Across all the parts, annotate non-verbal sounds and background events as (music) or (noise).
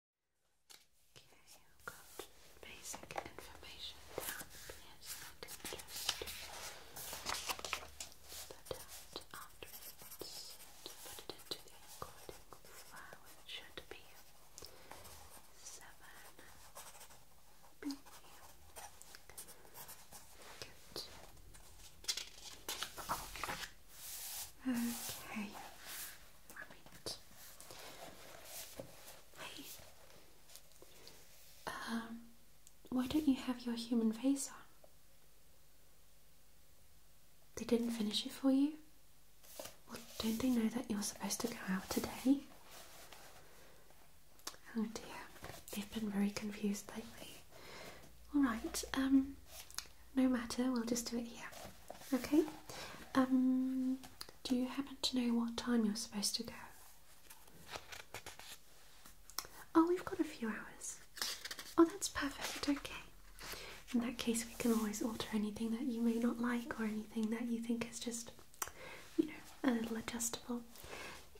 Okay, I've got basic information down here, I can just put it into the recording file, which should be 7 billion. Good. Okay. Hey. Um, why don't you have your human face on? They didn't finish it for you? Well, don't they know that you're supposed to go out today? Oh dear, they've been very confused lately. Alright, um, no matter, we'll just do it here. Okay? Um, do you happen to know what time you're supposed to go? Oh, we've got a few hours. Oh, that's perfect. Okay. In that case, we can always alter anything that you may not like or anything that you think is just, you know, a little adjustable.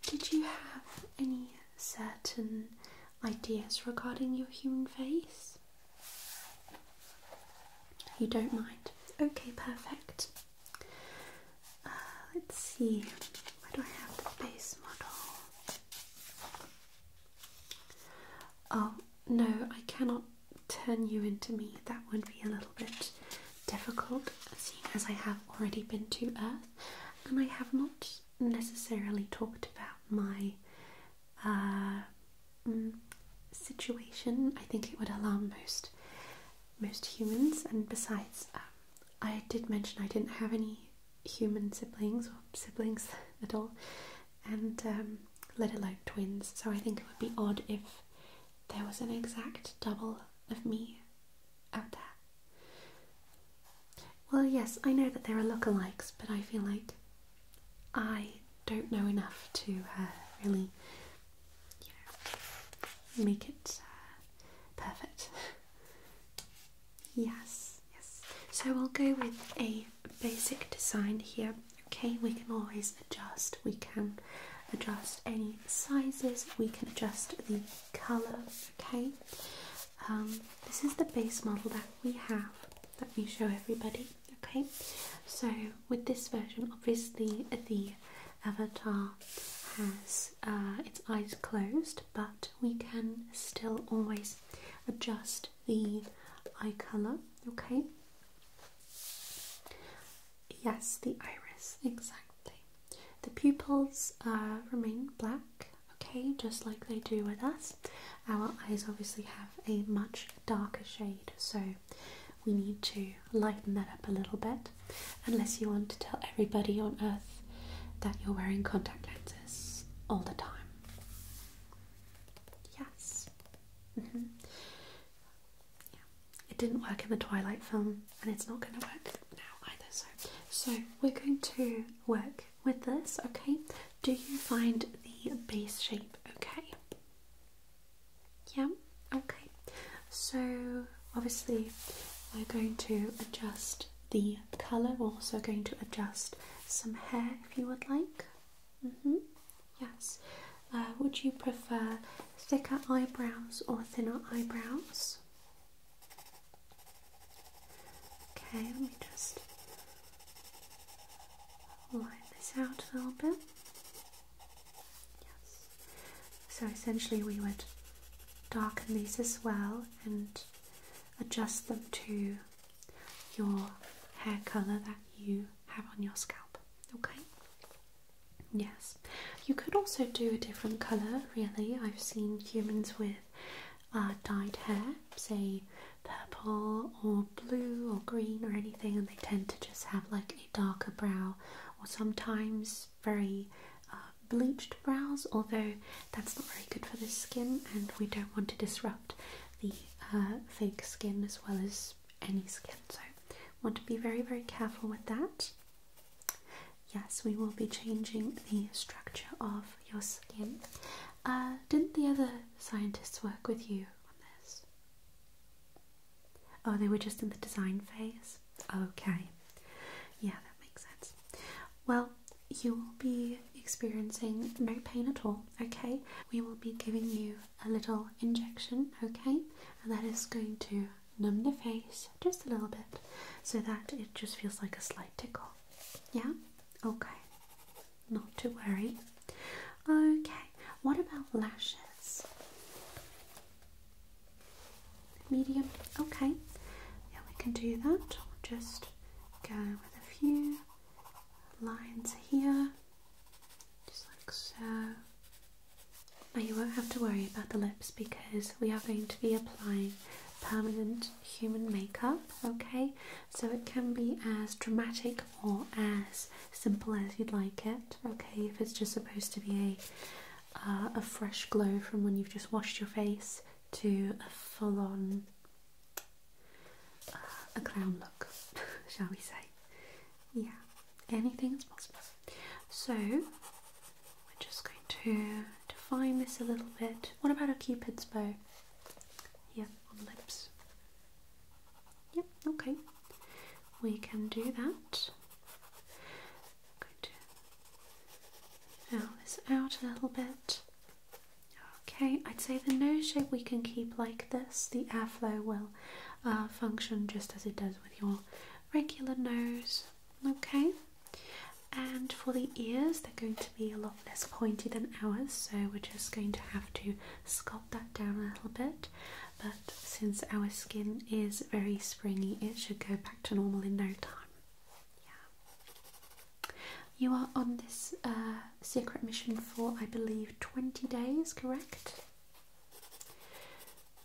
Did you have any certain ideas regarding your human face? You don't mind? Okay, perfect. Uh, let's see, where do I have the base model? Oh, no, I cannot turn you into me. That would be a little bit difficult, seeing as I have already been to Earth and I have not necessarily talked about my uh, mm, situation, I think it would alarm most most humans. And besides, um, I did mention I didn't have any human siblings or siblings (laughs) at all, and um, let alone twins. So I think it would be odd if there was an exact double of me out there. Well, yes, I know that there are lookalikes, but I feel like I don't know enough to uh, really, make it uh, perfect. yes, yes. So I'll go with a basic design here. Okay, we can always adjust. We can adjust any sizes. We can adjust the colour. Okay. Um, this is the base model that we have Let me show everybody. Okay, so with this version, obviously the avatar has uh, its eyes closed, but we can still always adjust the eye color. Okay, yes, the iris exactly. The pupils uh, remain black. Okay, just like they do with us. Our eyes obviously have a much darker shade, so we need to lighten that up a little bit, unless you want to tell everybody on earth that you're wearing contact lenses all the time. Yes. Mm-hmm. It didn't work in the Twilight film, and it's not going to work now either. so we're going to work with this, okay? Do you find the base shape okay? Yeah, okay. So, obviously, we're going to adjust the colour, we're also going to adjust some hair if you would like. Mm -hmm. Yes. Uh, would you prefer thicker eyebrows or thinner eyebrows? Okay, let me just line this out a little bit. Yes. So essentially, we would darken these as well and adjust them to your hair color that you have on your scalp. Okay? Yes. You could also do a different color, really. I've seen humans with uh, dyed hair, say purple or blue or green or anything, and they tend to just have like a darker brow or sometimes very uh, bleached brows, although that's not very good for the skin, and we don't want to disrupt the uh, fake skin as well as any skin, so want to be very, very careful with that. Yes, we will be changing the structure of your skin. Uh, didn't the other scientists work with you on this? Oh, they were just in the design phase? Okay. Yeah, that makes sense. Well, you will be experiencing no pain at all, okay? We will be giving you a little injection, okay? And that is going to numb the face just a little bit so that it just feels like a slight tickle. Yeah? Okay not to worry. Okay, what about lashes? Medium, okay, yeah, we can do that. Just go with a few lines here, just like so. Now, you won't have to worry about the lips because we are going to be applying permanent human makeup, okay? So it can be as dramatic or as simple as you'd like it, okay? If it's just supposed to be a, uh, a fresh glow from when you've just washed your face to a full on uh, a clown look, (laughs) shall we say? Yeah, anything's possible. So we're just going to define this a little bit. What about a cupid's bow? Yeah, lips. Yep, okay. We can do that. Good. Fill this out a little bit. Okay, I'd say the nose shape we can keep like this. The airflow will uh, function just as it does with your regular nose. Okay, and for the ears, they're going to be a lot less pointy than ours, so we're just going to have to sculpt that down a little bit. But since our skin is very springy, it should go back to normal in no time. Yeah. You are on this uh, secret mission for, I believe, 20 days, correct?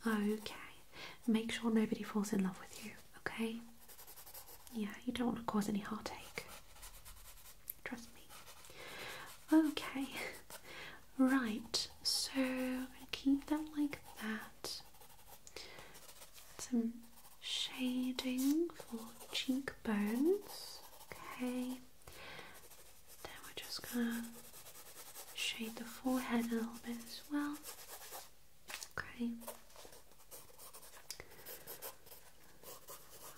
Okay. Make sure nobody falls in love with you, okay? Yeah, you don't want to cause any heartache. Trust me. Okay, (laughs) right, so I'm going to keep them like that. Some shading for cheekbones. Okay, then we're just going to shade the forehead a little bit as well. Okay.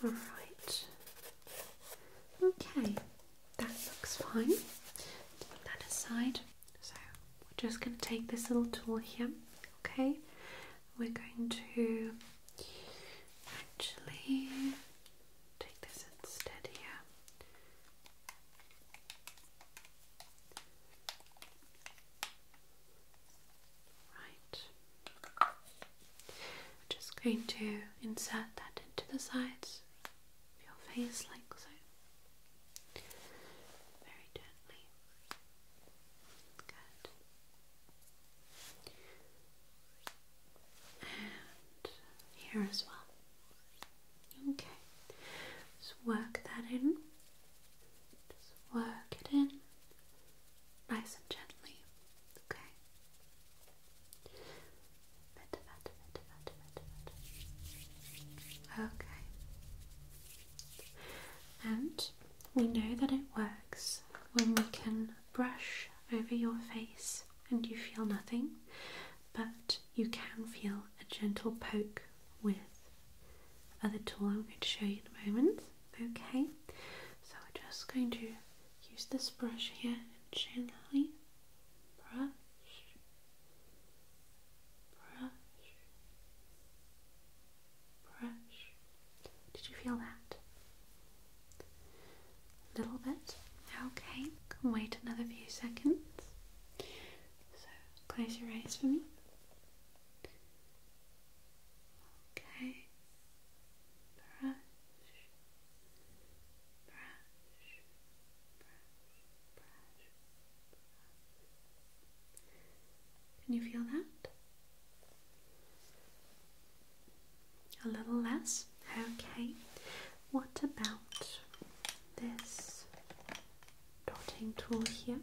Alright. Okay, that looks fine. put that aside. So we're just going to take this little tool here, okay? We're going to actually take this instead here. Right. I'm just going to insert that into the sides of your face like so. Very gently. Good. And here as well. Okay. Just work that in. Just work it in nice and gently, okay? Okay. And we know that it works when we can brush over your face and you feel nothing, but you can feel a gentle poke with other tool I'm going to show you in a moment. Okay, so we're just going to use this brush here gently brush, brush, brush. Did you feel that? A little bit. Okay, can wait another few seconds. So close your eyes for me. Okay. Brush. Brush. Brush. Brush. Can you feel that? A little less? Okay. What about this dotting tool here?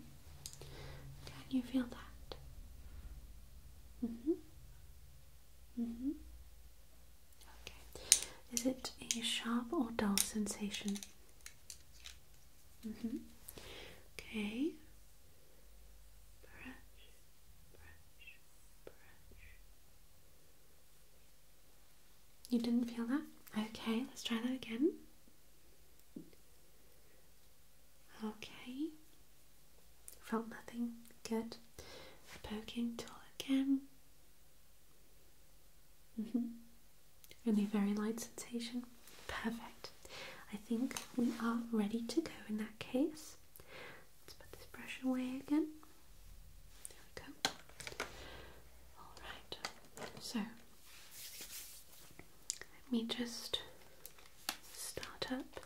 Can you feel that? Mm-hmm. Mm-hmm. Okay. Is it a sharp or dull sensation? Mm-hmm. Okay. Brush, brush, brush. You didn't feel that? Okay, let's try that again. Okay. Felt nothing. Good. Poking tool again. -hmm. Only very light sensation. Perfect. I think we are ready to go in that case. Let's put this brush away again. There we go. Alright, so let me just start up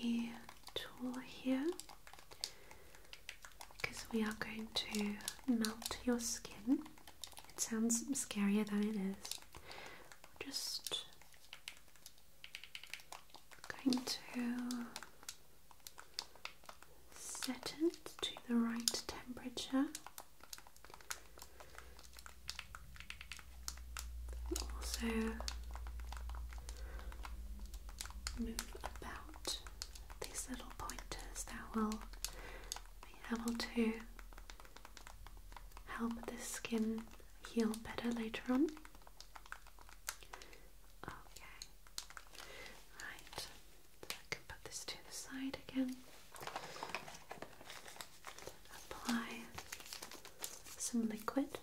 the tool here because we are going to melt your skin. It sounds scarier than it is. Just going to set it to the right temperature. Also move about these little pointers that will be able to help the skin heal better later on. Okay, right, so can put this to the side again apply some liquid.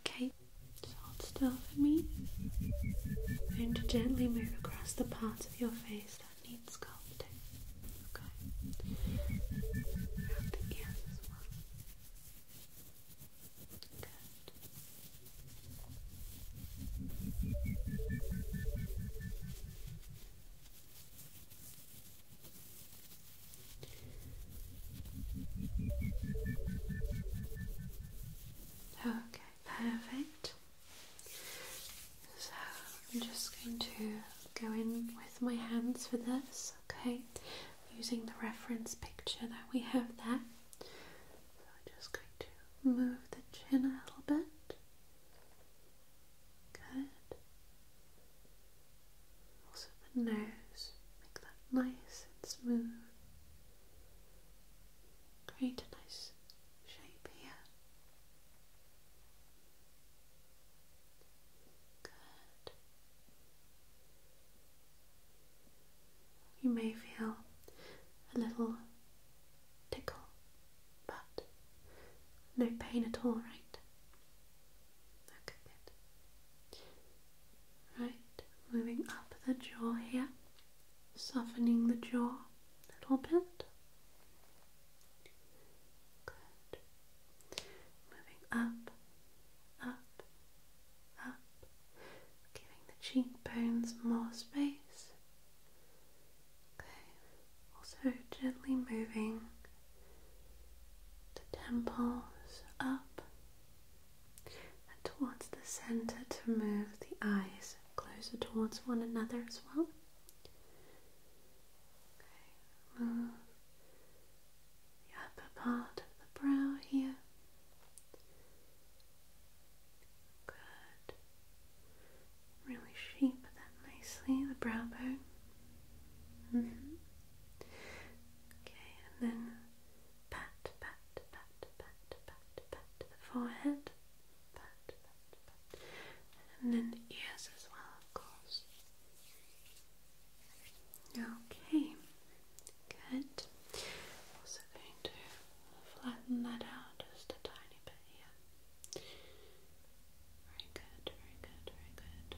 Okay, just stuff, still for me. i gently move across the parts of your face that need sculpting. Okay. the ears as well. Good. Okay, perfect. So I'm just going to go in with my hands for this okay? Using the reference picture that we have there. So I'm just going to move the chin a little bit. Good. Also the nose, make that nice and smooth. Create a nice shape here. Good. You may feel a little tickle, but no pain at all, right? Okay, good. Right, moving up the jaw here, softening the jaw a little bit. Moving up, up, up, giving the cheekbones more space. Okay. Also gently moving the temples up and towards the center to move the eyes closer towards one another as well. Okay, move the upper part of the brow here. Good. Really shape that nicely, the brow bone. Mm-hmm. Okay, and then pat, pat, pat, pat, pat, pat the forehead. And then the ears as well, of course. Okay, good. Also going to flatten that out just a tiny bit here. Very good, very good, very good.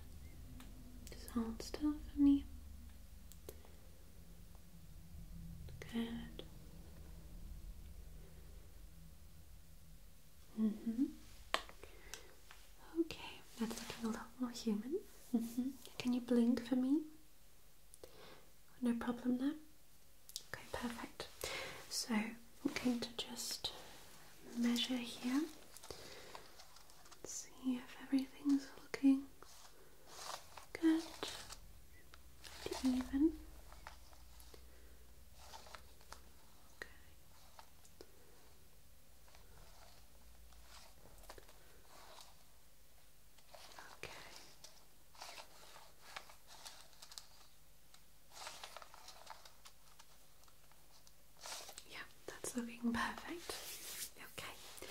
Just still for me. Good. Mm hmm Okay, that's looking a lot more human. Mm -hmm. Can you blink for me? No problem there. Okay, perfect. So I'm going to just measure here. Let's see if everything's looking good even. Okay. Yeah, that's looking perfect. Okay,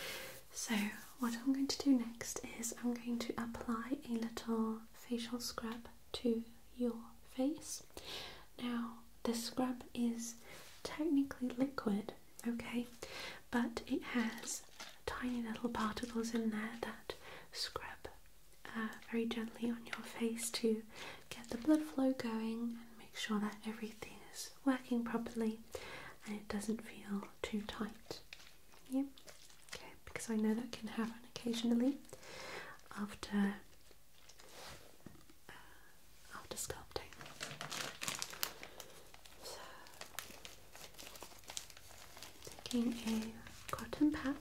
so what I'm going to do next is I'm going to apply a little facial scrub to your face. Now, the scrub is technically liquid, okay, but it has tiny little particles in there that scrub uh, very gently on your face to get the blood flow going and make sure that everything is working properly and it doesn't feel too tight. Yeah, okay, because I know that can happen occasionally after after sculpting. taking a cotton pad.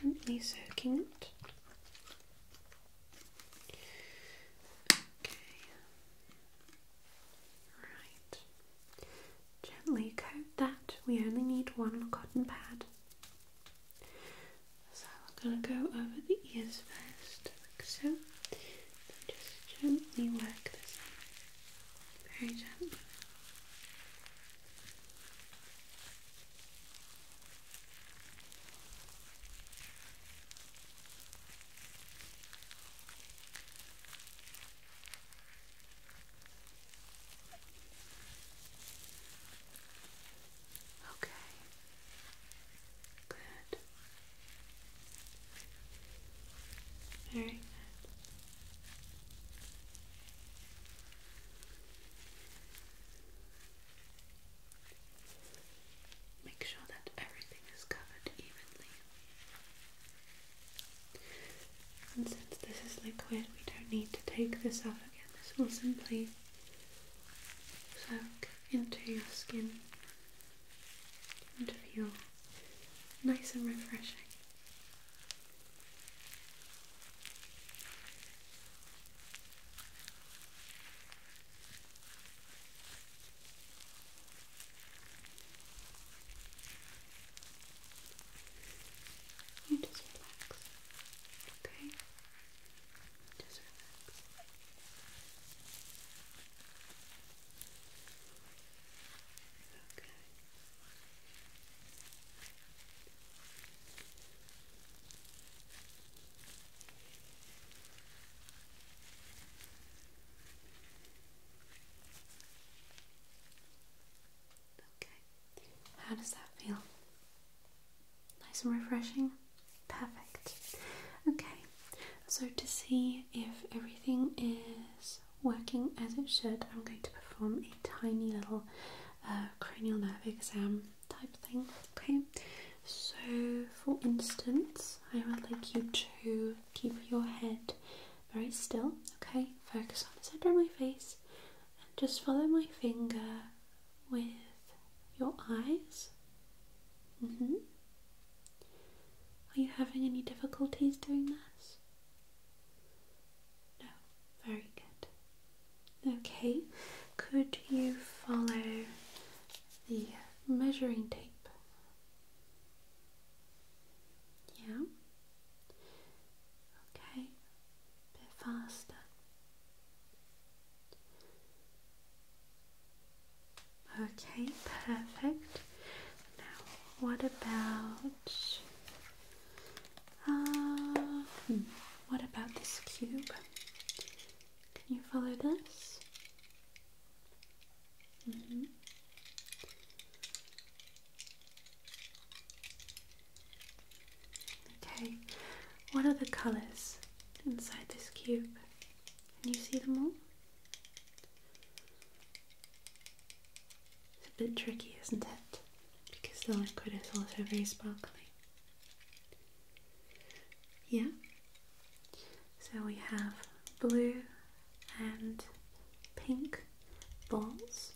Gently soaking it. Okay. Right. Gently coat that. We only need one cotton pad. So we're going to go over the ears first, like so. just gently work this out. Very gently. Okay. Good. Very Make sure that everything is covered evenly. And since this is liquid, we don't need to take this off again. This will simply soak into your skin and feel nice and refreshing. You just relax, okay? Just relax. Okay. Okay, how does that feel? Nice and refreshing? Perfect. Okay, so to see if everything is working as it should, I'm going to perform a tiny little uh, cranial nerve exam type thing. Okay, so for instance, I would like you to keep your head very still, okay? Focus on the centre of my face and just follow my finger with your eyes. Mm-hmm. Are you having any difficulties doing this? No, very good. Okay, could you follow the measuring tape yeah? Okay, bit faster. Okay, perfect. Now, what about uh, hmm, what about this cube? Can you follow this? Mm-hmm. Okay, what are the colours inside this cube? Can you see them all? It's a bit tricky, isn't it? Because the liquid is also very sparkly. Yeah? So we have blue and pink balls,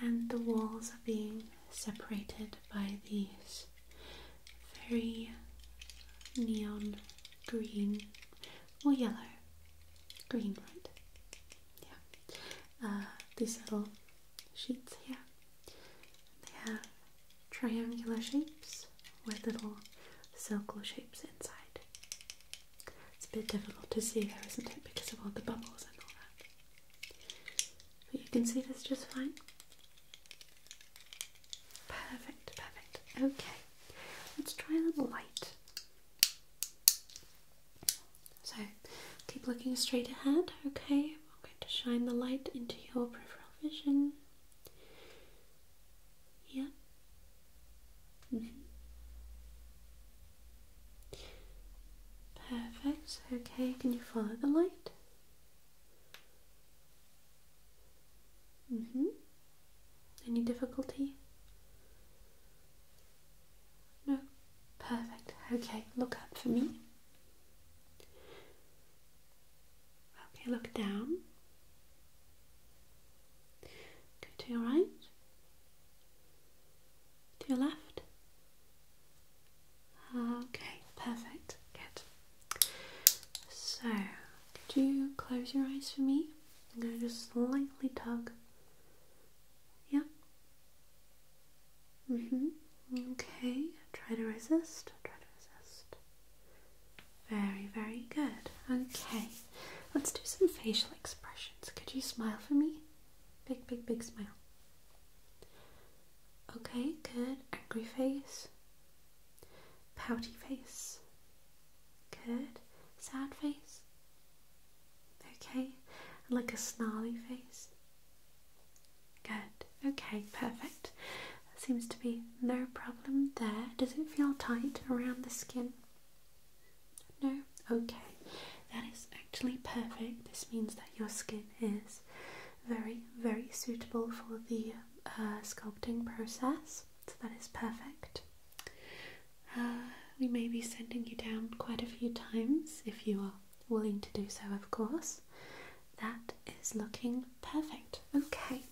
and the walls are being separated by these very neon green or yellow. Green, right? Yeah. Uh, these little sheets here. They have triangular shapes with little circle shapes inside. It's a bit difficult to see there, isn't it, because of all the bubbles and all that. But you can see this just fine. Perfect, perfect. Okay, let's try a little light. So, keep looking straight ahead, okay? I'm going to shine the light into your peripheral vision. Yeah. Mm -hmm. Perfect. Okay, can you follow the light? Mm hmm. Any difficulty? No. Perfect. Okay, look up for me. Okay, look down. Go to your right, to your left. Okay, perfect. Good. So, could you close your eyes for me? I'm going to just slightly tug. Yeah. Mhm. Mm okay. Try to resist. Try to resist. Very, very good. Okay, let's do some facial expressions. Could you smile for me? Big, big, big smile. Okay, good. Angry face. Pouty face. Good. Sad face. Okay, and like a snarly face. Good. Okay, perfect. That seems to be no problem there. Does it feel tight around the skin? No? Okay. That is actually perfect. This means that your skin is very, very suitable for the uh, sculpting process. So that is perfect. Uh, we may be sending you down quite a few times if you are willing to do so, of course. That is looking perfect. Okay.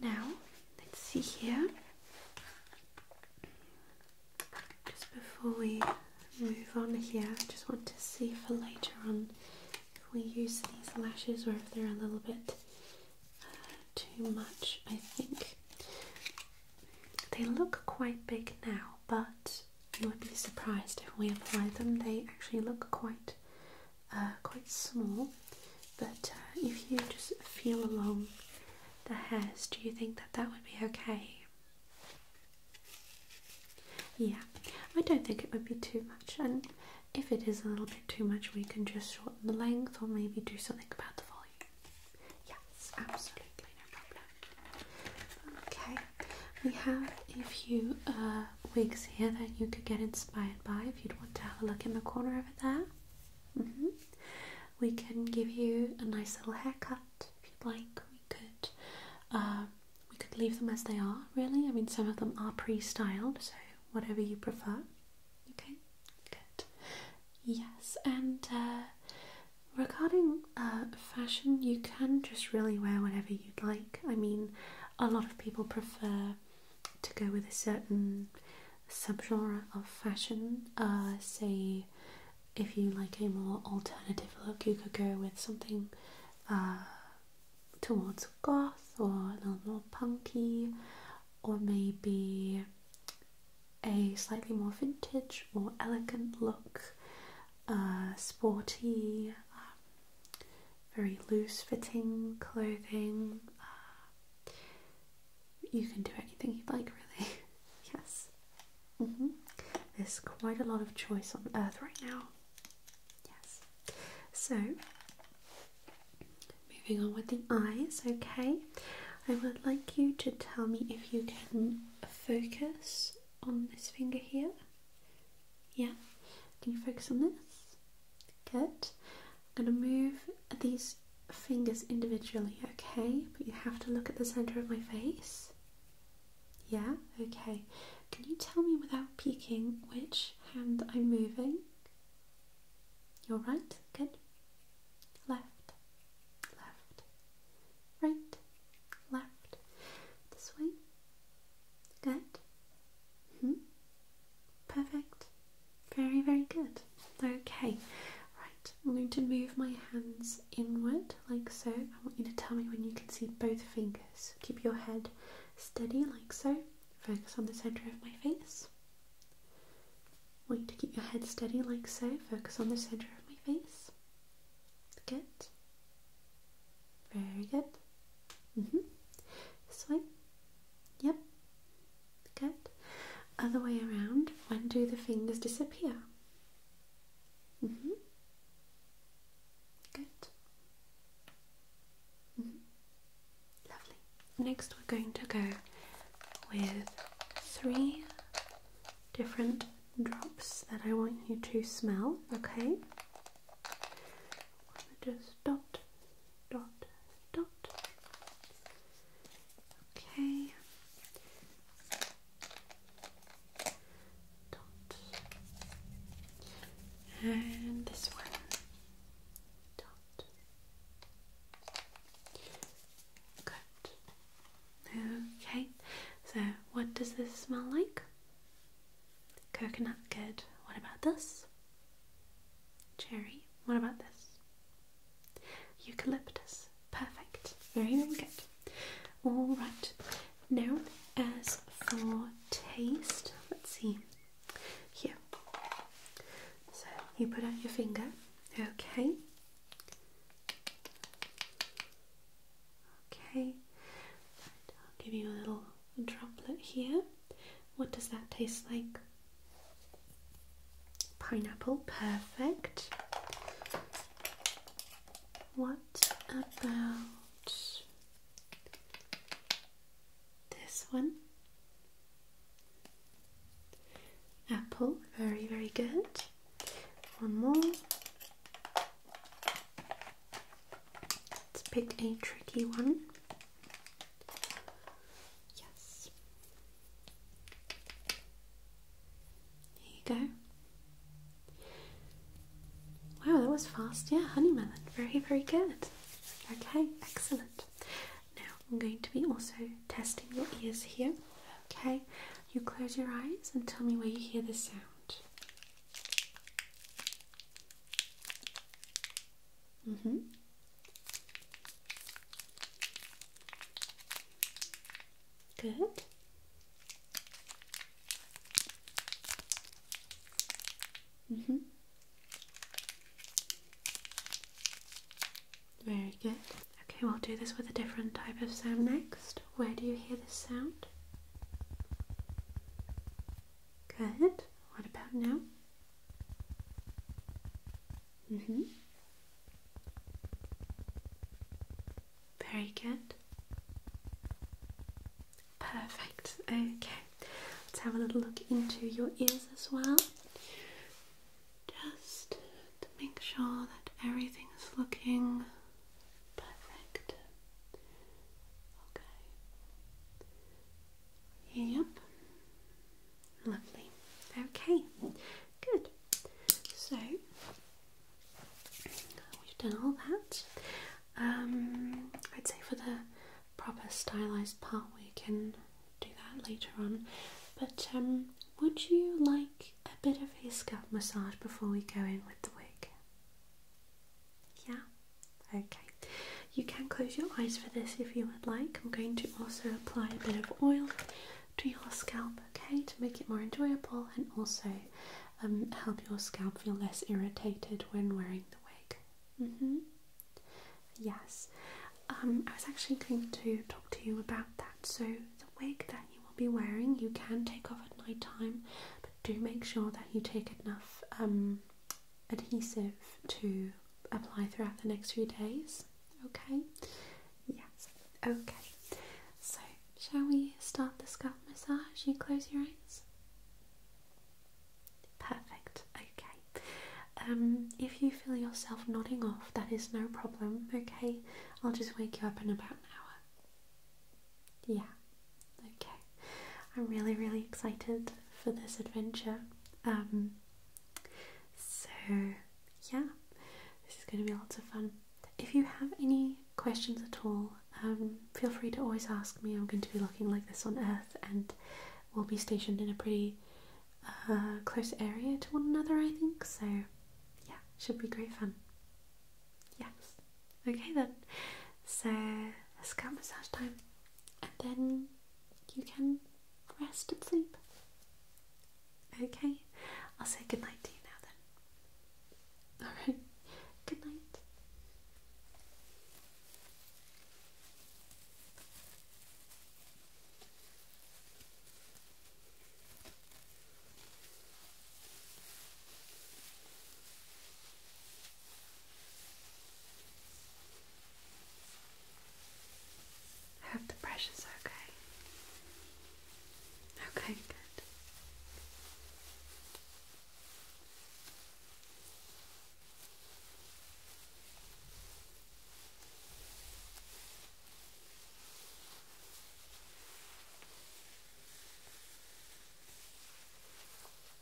Now, let's see here. Just before we move on here, I just want to see for later on if we use these lashes or if they're a little bit uh, too much. I think they look quite big now, but you would be surprised if we apply them, they actually look quite uh, quite small, but uh, if you just feel along the hairs, do you think that that would be okay? Yeah, I don't think it would be too much, and if it is a little bit too much, we can just shorten the length or maybe do something about the volume. Yes, absolutely, no problem. Okay, we have a few uh, wigs here that you could get inspired by if you'd want to have a look in the corner over there. Mm -hmm. We can give you a nice little haircut if you'd like. We could, um, we could leave them as they are. Really, I mean, some of them are pre-styled, so whatever you prefer. Okay, good. Yes, and uh, regarding uh, fashion, you can just really wear whatever you'd like. I mean, a lot of people prefer to go with a certain subgenre of fashion. Uh, say, if you like a more alternative look, you could go with something uh, towards goth or a little more punky, or maybe a slightly more vintage, more elegant look, uh, sporty, um, very loose fitting clothing. You can do anything you'd like, really. (laughs) yes. -hmm. There's quite a lot of choice on Earth right now. Yes. So, moving on with the eyes, okay. I would like you to tell me if you can focus on this finger here. Yeah. Can you focus on this? Good. I'm going to move these fingers individually, okay? But you have to look at the center of my face. Yeah, okay. Can you tell me without peeking which hand I'm moving? Your right, good. Left, left, right, left. This way, good. -hmm. Perfect. Very, very good. Okay, right. I'm going to move my hands inward like so. I want you to tell me when you can see both fingers. Keep your head steady like so. Focus on the centre of my face. I want you to keep your head steady like so. Focus on the centre of my face. Good. Very good. Mm-hmm. This way? Yep. Good. Other way around. When do the fingers disappear? Mm-hmm. Good. Mm -hmm. Lovely. Next we're going to go with three different drops that I want you to smell, okay? just dot, dot, dot. Okay. Dot. And this one. Dot. Good. Okay. So, what does this smell like? Coconut, good. What about this? Cherry. What about this? Eucalyptus. Perfect. Very, very good. All right. Now, as for taste, let's see. Here. So you put out your finger. Okay. Okay. I'll give you a little a droplet here. What does that taste like? Pineapple, perfect. What about this one? Apple, very, very good. One more. Let's pick a tricky one. Yes. There you go. Wow, that was fast. Yeah, honey melon. Very, very good. Okay, excellent. Now I'm going to be also testing your ears here. Okay, you close your eyes and tell me where you hear the sound. Mm -hmm. Good. Mm -hmm. Very good. Okay, we'll do this with a different type of sound next. Where do you hear this sound? Good. What about now? Mm-hmm. Very good. Perfect. Okay. Let's have a little look into your ears as well. Just to make sure that everything is looking perfect. Okay. Yep. Lovely. Okay. Good. So we've done all that. Um, I'd say for the proper stylised part, we can do that later on. But um, would you like a bit of a scalp massage before we go in with the wig? Yeah? Okay. You can close your eyes for this if you would like. I'm going to also apply a bit of oil to your scalp, okay, to make it more enjoyable and also um, help your scalp feel less irritated when wearing the wig. Mm -hmm. Yes, um, I was actually going to talk to you about that. So, the wig that you will be wearing, you can take off at night time, but do make sure that you take enough um, adhesive to apply throughout the next few days. Okay? Yes. Okay. So, shall we start the scalp massage? You close your eyes. Perfect. Okay. Um, if you feel yourself nodding off, that is no problem. Okay. I'll just wake you up in about an hour. Yeah. Okay, I'm really, really excited for this adventure. Um, so, yeah, this is going to be lots of fun. If you have any questions at all, um, feel free to always ask me. I'm going to be looking like this on Earth, and we'll be stationed in a pretty uh, close area to one another, I think. So, yeah, should be great fun. Yes. Okay then, so let's get massage time and then you can rest and sleep. Okay, I'll say good night to you now then. Alright, good night. I hope the pressure's okay. Okay, good.